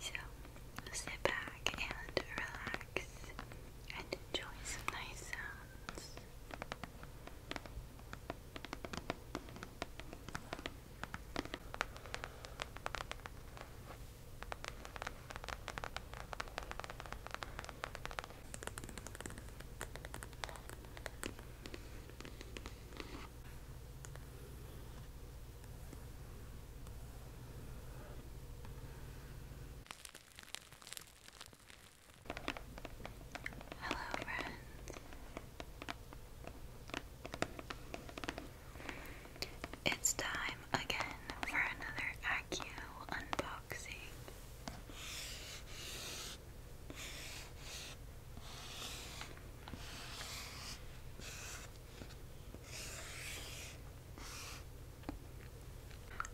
So sit back and relax and enjoy some nice sounds. Hello, friends. It's time again for another Accu unboxing.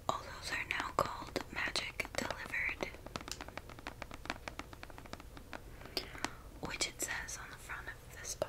All those are now called Magic Delivered, which it says on the front of this box.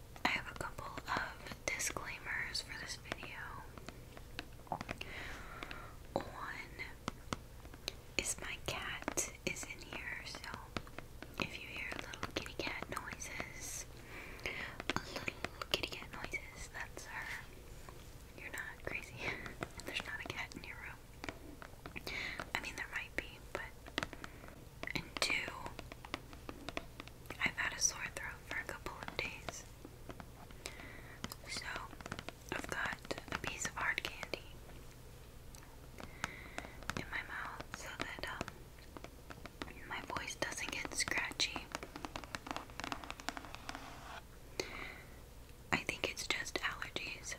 I have a couple of disclaimers for this video. One is my cat is in here, so if you hear little kitty cat noises, little kitty cat noises, that's her. You're not crazy. There's not a cat in your room. I mean, there might be, but. And two, I've had a sore throat for a couple of days. So, I've got a piece of hard candy in my mouth so that um, my voice doesn't get scratchy. I think it's just allergies.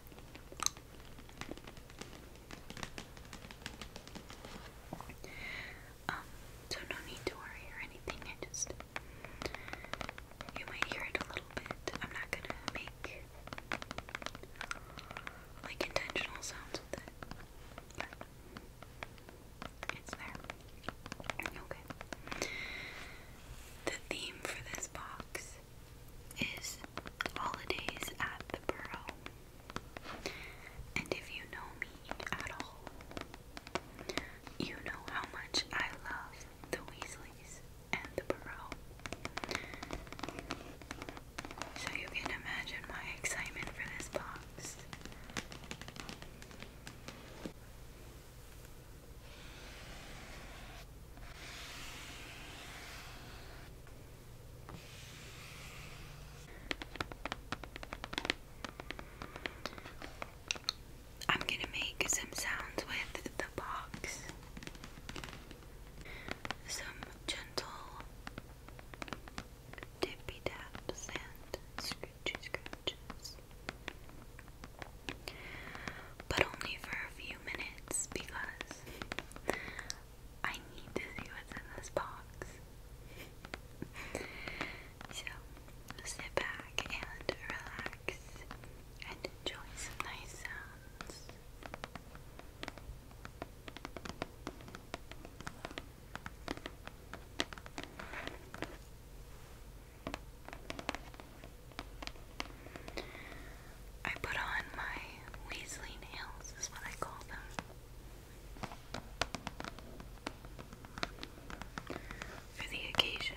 Um, so no need to worry or anything. I just you might hear it a little bit. I'm not gonna make like intentional sounds with it. But it's there. Okay. The theme for this box is holidays at the Borough. And if you know me at all, you know how much I love the Weasleys and the Burrow. So you can imagine my excitement for this box. I'm gonna make some sounds with the box. Some gentle tippy taps and scratchy scratches. But only for a few minutes because I need to see what's in this box. so sit back and relax and enjoy some nice sounds. I put on my Weasley nails, is what I call them for the occasion.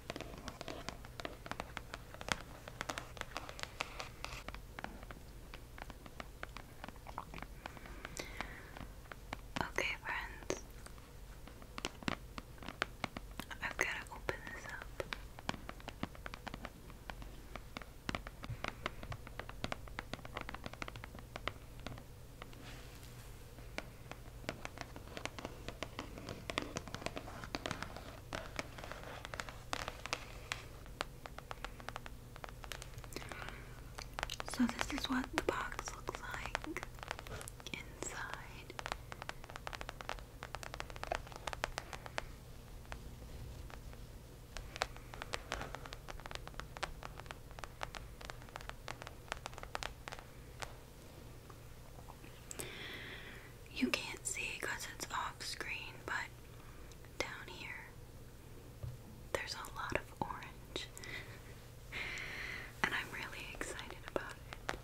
Okay, friends, I've got to open this up. So this is what the box looks like inside. You can't see because it's off screen, but down here there's a lot of orange, and I'm really excited about it.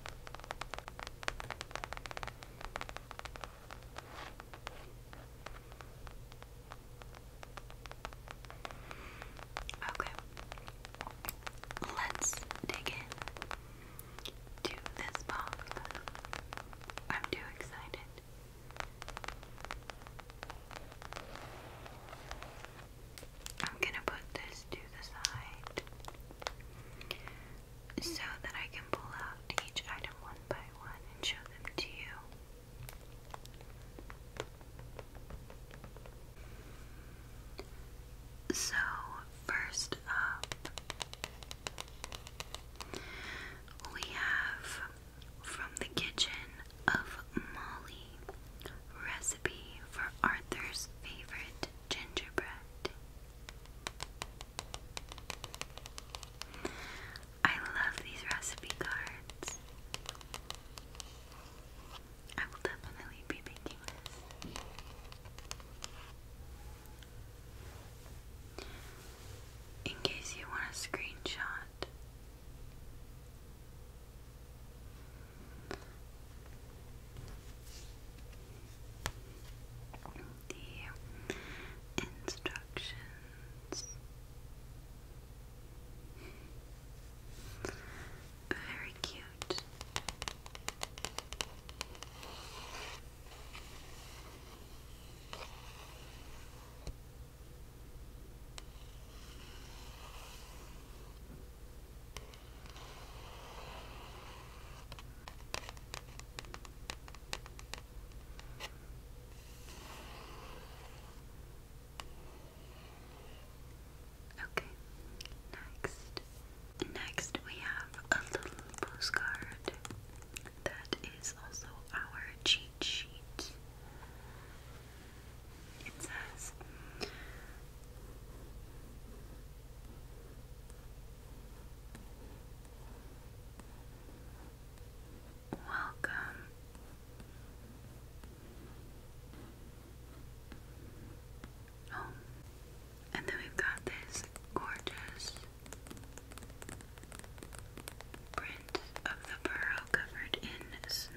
Okay, let's dig in to this box. I'm too excited. I'm gonna put this to the side so that I can pull out each item one by one and show them to you. So, first up, we have from the kitchen of Molly recipe for Arthur's favorite gingerbread. I love these recipe cards. I will definitely be making this. In case you want a screenshot, the instructions very cute. Okay, next. Next, we have a little postcard that is also our cheat sheet. It says, Welcome Oh, and then we've got this gorgeous print of the burrow covered in snow.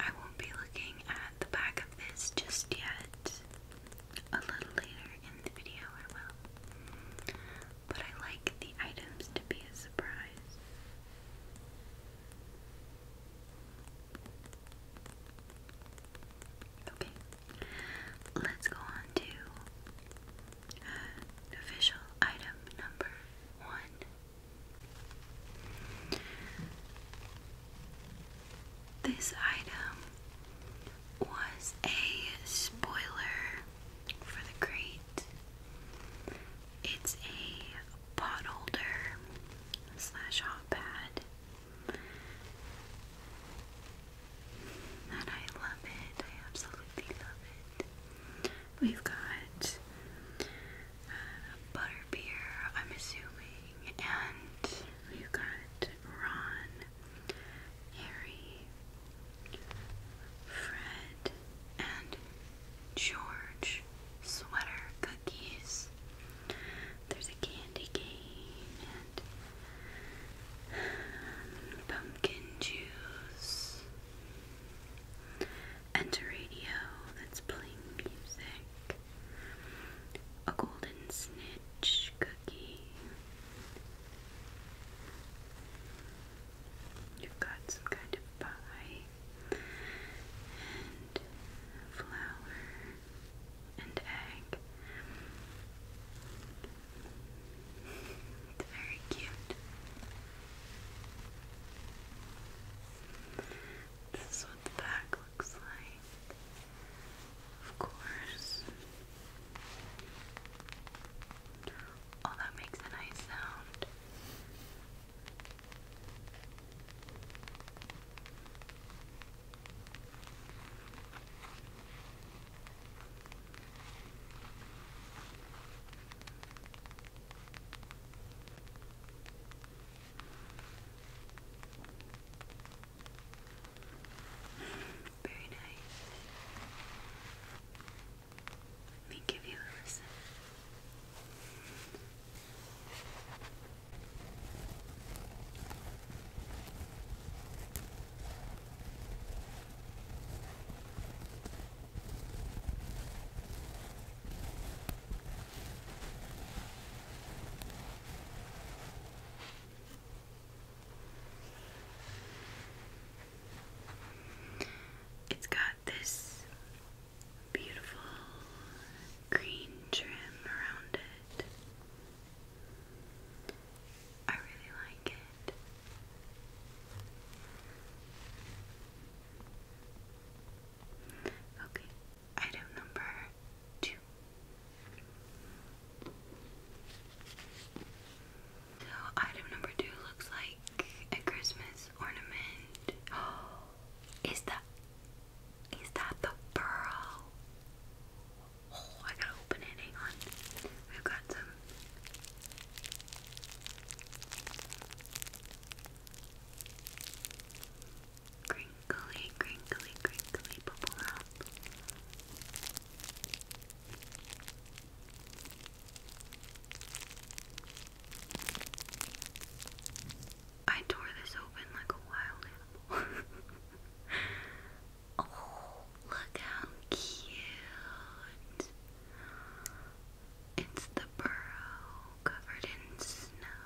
I won't be looking at the back of this just yet a little later in the video I will. But I like the items to be a surprise. Okay, let's go on to uh, official item number one. This item was a spoiler for the crate. It's a pot holder slash hot pad. And I love it. I absolutely love it. We've got a uh, butter beer, I'm assuming, and we've got Ron Harry, Fred, and George sweater cookies. There's a candy cane and um, pumpkin juice and radio that's playing music. A golden snitch cookie, You've got some kind of pie and flour and egg. It's very cute. This is what the back looks like. Of course. Oh, that makes a nice sound. Very nice. Let me give you a listen. It's got this beautiful green trim around it. I really like it. Okay, item number two. So item number two looks like a Christmas ornament. is that is that the pearl? Oh, I gotta open it. Hang on. We've got some. Crinkly, crinkly, crinkly bubble wrap. I tore this open like a wild animal. oh, look how cute! It's the burrow covered in snow.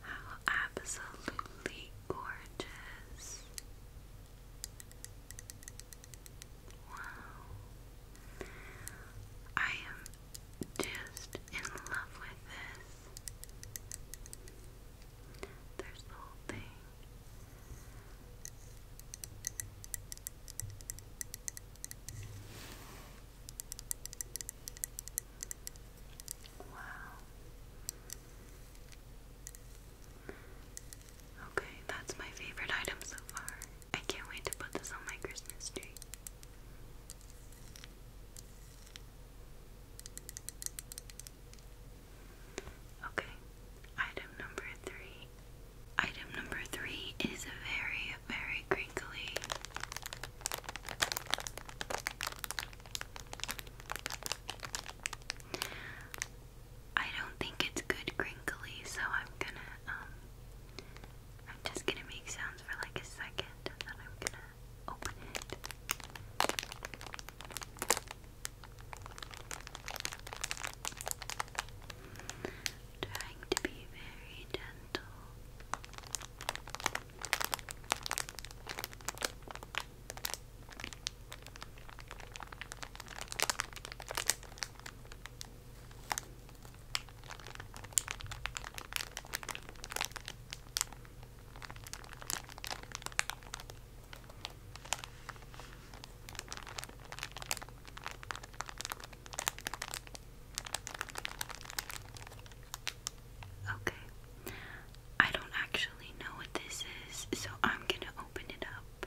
How absolutely gorgeous! Wow. I am just in love with this. There's the whole thing. Wow. Okay, that's my favorite item so far. I can't wait to put this on my Christmas tree. Okay, item number three. Item number three is very, very crinkly. I don't think it's good crinkly, so I'm gonna, um, I'm just gonna make sounds for like a second and then I'm gonna open it. Trying to be very gentle. Okay. I don't actually know what this is, so I'm going to open it up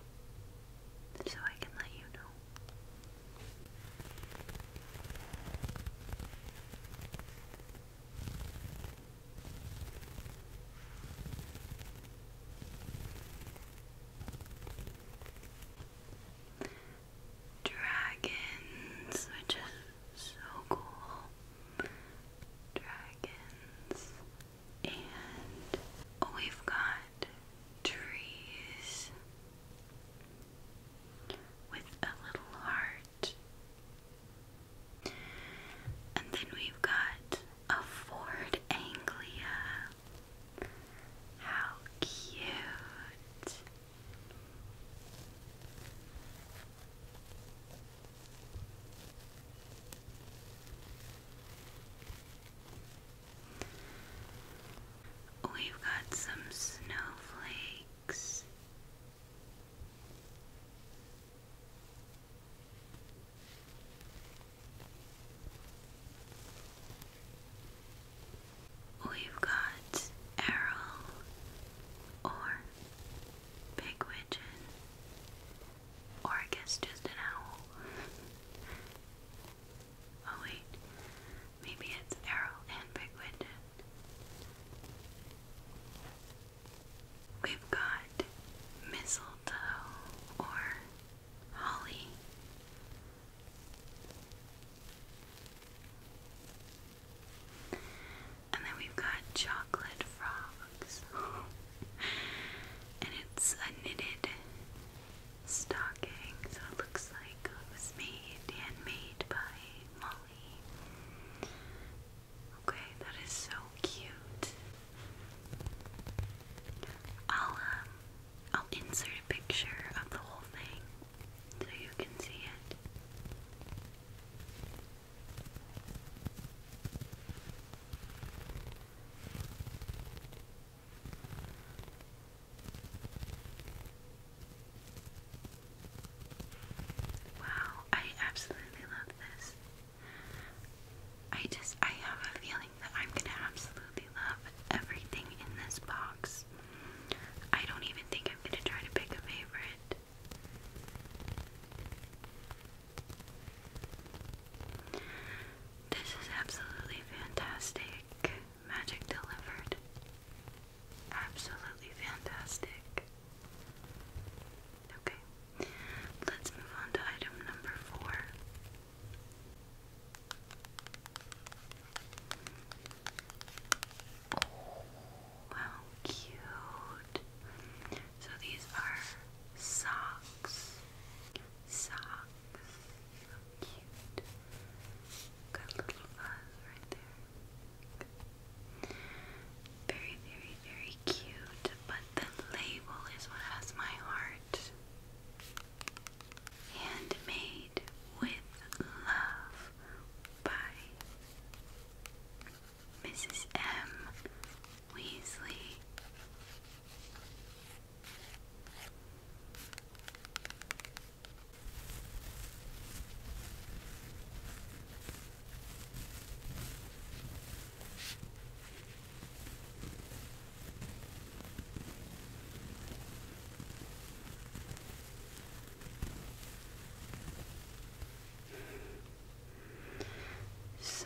so I can let you know. Dragons, which is so cool. Dragons, and we've got trees with a little heart and then we've got a Ford Anglia. How cute! We've got some snowflakes We've got Errol or Big Widgeon, or I guess just an owl. oh, wait, maybe it's Errol and Big We've got mistletoe or holly. And then we've got chocolate frogs. and it's a knitted stocking, so it looks like it was made, handmade by Molly. Okay, that is so cute. I'll um I'll insert a picture of the whole thing so you can see it. Wow, I absolutely love this. I just, I have a feeling that I'm gonna absolutely love everything in this box. I don't even think I'm gonna try to pick a favorite. This is absolutely fantastic. Magic delivered. Absolutely fantastic. Okay, let's move on to item number four. Oh, cute. So these are socks. Socks. So cute. Got little fuzz right there. Very, very, very cute, but the label is what has my heart. Handmade with Love by Mrs. M. Weasley. So,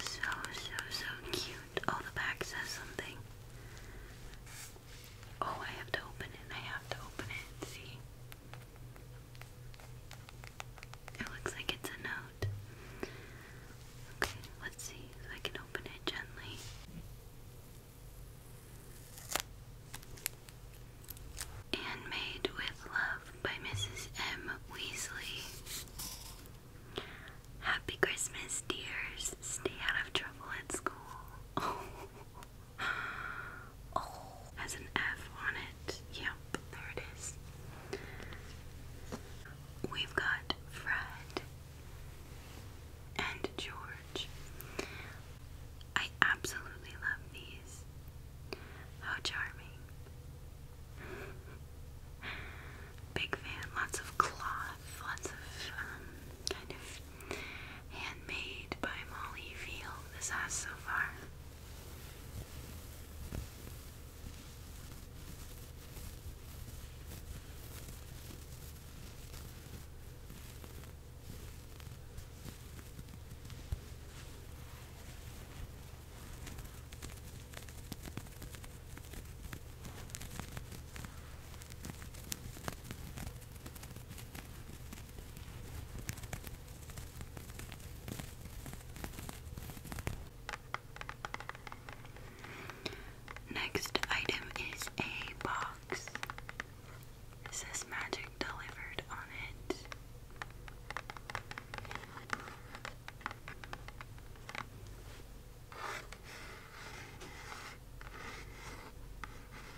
so, so, so cute. Oh, the back says something. Oh, I have to open it. I have to open it. See? It looks like it's a note. Okay, let's see if I can open it gently. Handmade with Love by Mrs. M. Weasley. Happy Christmas, dears. Stay out of trouble at school. Oh, has an F on it. Yep, there it is. We've got Fred and George. I absolutely love these. How charming. Big fan, lots of cloth, lots of um, kind of handmade by Molly Feel This has so far. Next item is a box. It says magic delivered on it.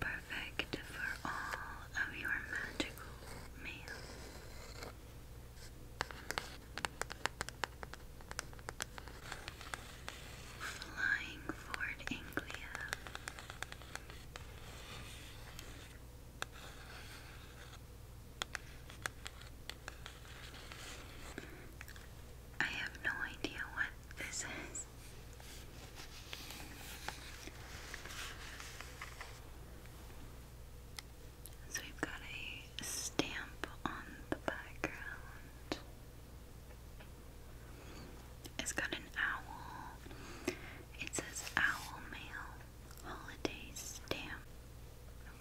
perfect for all of your magical meals. Flying Ford Anglia. I have no idea what this is. So we've got a stamp on the background. It's got an owl. It says Owl Mail Holiday Stamp.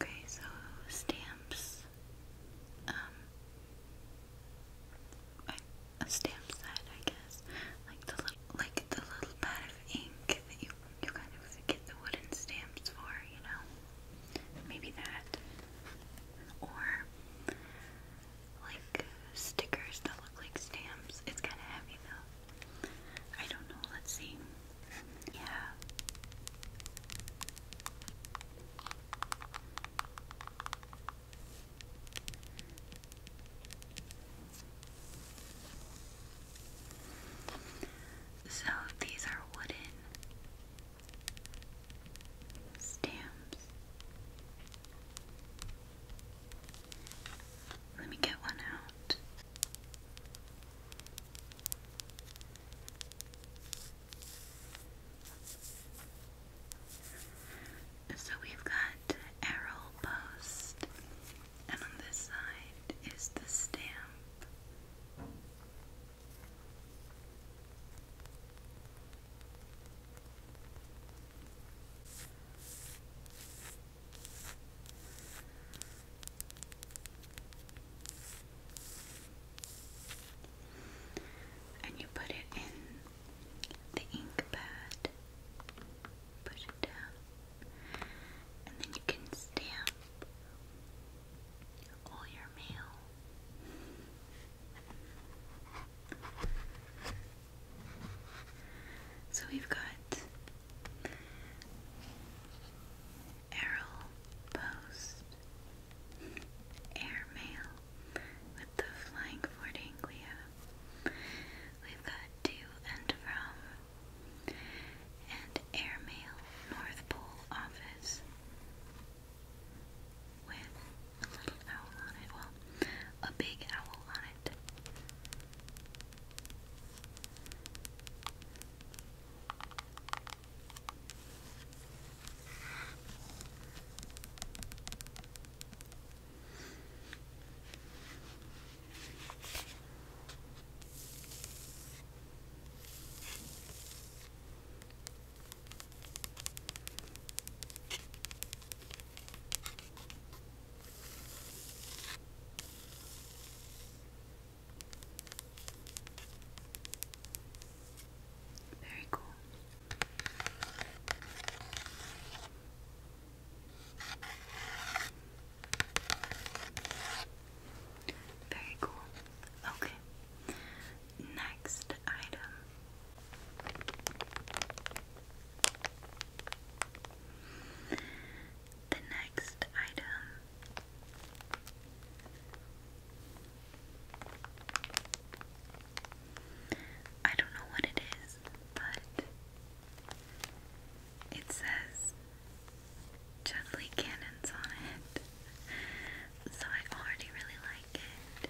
Okay, so stamps um, a stamp set, I guess. Like the little, like the little pad of ink that you you kind of get the wooden stamps for, you know. Maybe that, or like stickers that look like stamps. It's kind of heavy though. I don't know. Let's see. Yeah. So these are wooden stamps. Let me get one out. So we've got arrow post, and on this side is the stamp. And you put it in the ink pad, push it down, and then you can stamp all your mail. So we've got Errol Post, Airmail, with the flying Fortinglia. We've got to and from and airmail North Pole office with a little owl on it. Well, a big owl on it. Very cool. Very cool. Okay. Next item. The next item I don't know what it is but it says Chudley Cannons on it, so I already really like it.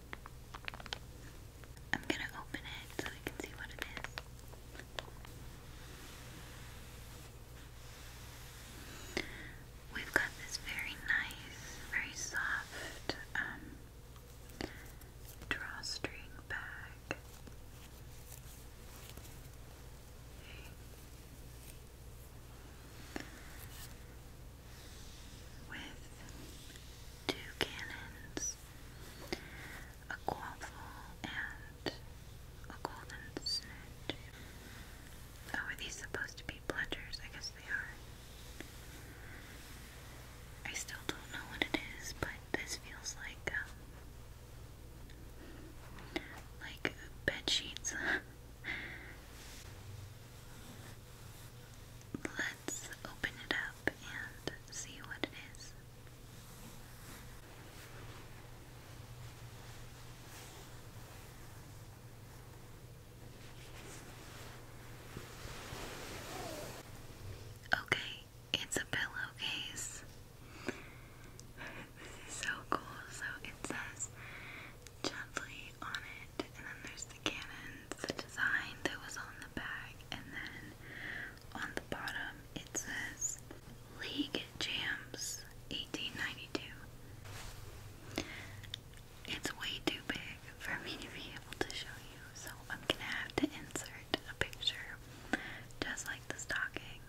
I'm going to open it so we can see what it is. We've got this very nice, very soft um, drawstring bag with two cannons, a quaffle, and a golden snoot. Oh, are these supposed to be pledgers? I guess they are. I still don't know what it is, but this feels like um, like bed sheets. Let's open it up and see what it is. Okay, it's a pillowcase. this is so cool. So it says gently on it. And then there's the cannons, the design that was on the back. And then on the bottom it says League Jams 1892. It's way too big for me to be able to show you, so I'm gonna have to insert a picture just like the stocking.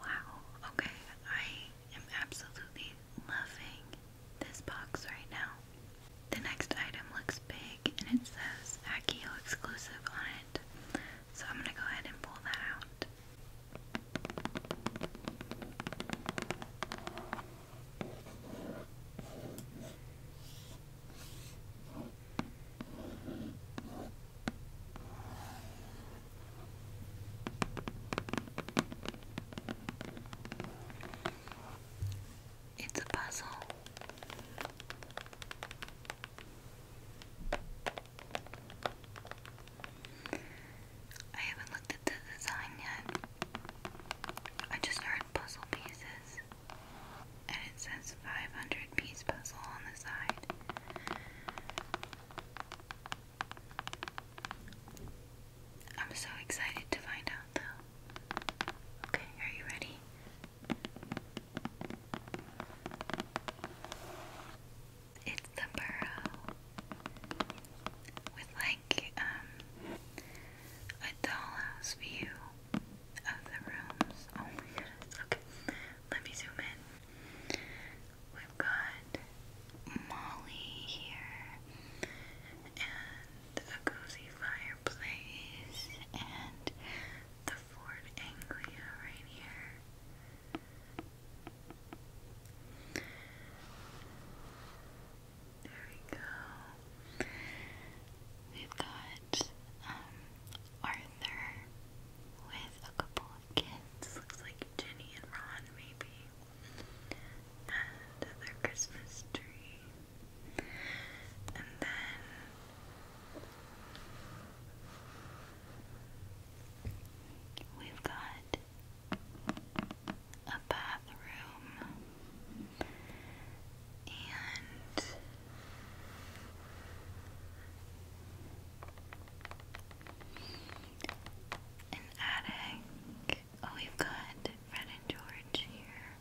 Wow, okay, I i am absolutely loving this box right now. The next item looks big and it says Accio exclusive on it. So I'm going to go ahead and pull that out. It's a puzzle. I haven't looked at the design yet. I just heard puzzle pieces. And it says 500 piece puzzle on the side. I'm so excited to find out though. Okay, are you ready? It's the burrow with like um a dollhouse view of the rooms. Oh my goodness. Okay. Let me zoom in. We've got Molly here, and a cozy fireplace, and the Ford Anglia right here. There we go. We've got um, Arthur with a couple kids. Looks like Jenny and Ron, maybe. And their Christmas tree. And then. We've got a bathroom and an attic. Oh, we've got Fred and George here.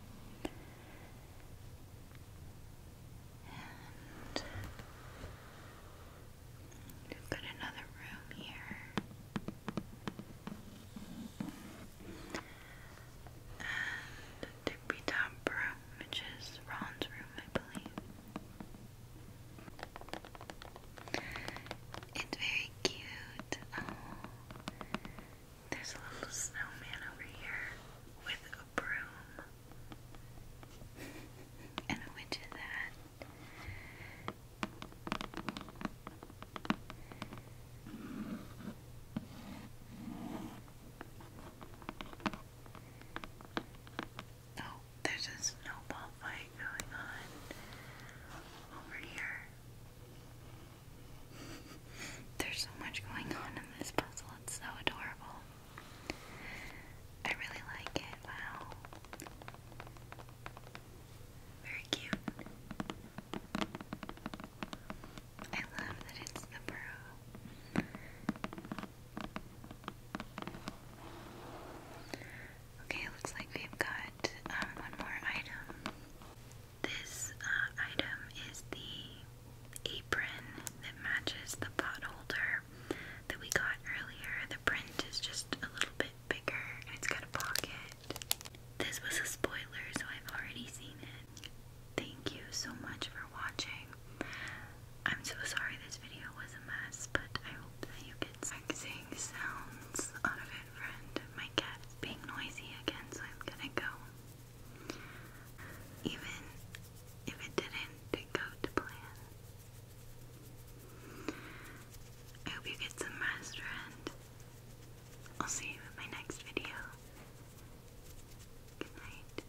we've got another room here. And the top room, which is Ron's room, I believe. It's very cute. Oh, there's a little snowman over here with a broom and a witch's hat. Oh, there's a snowball fight going on over here. There's so much going on in this puzzle, it's so adorable. I really like it, wow. Very cute. I love that it's the burrow. Okay, looks like we've got uh, one more item. This uh, item is the apron that matches the pot holder that we got earlier. The print is just a little bit bigger it's got a pocket. This was a spoiler, so I've already seen it. Thank you so much for watching. I'm so sorry this video was a mess, but that you get sexing sounds out of it, friend. My cat's being noisy again, so I'm gonna go. Even if it didn't go to plan. I hope you get some rest, friend. I'll see you in my next video. Good night.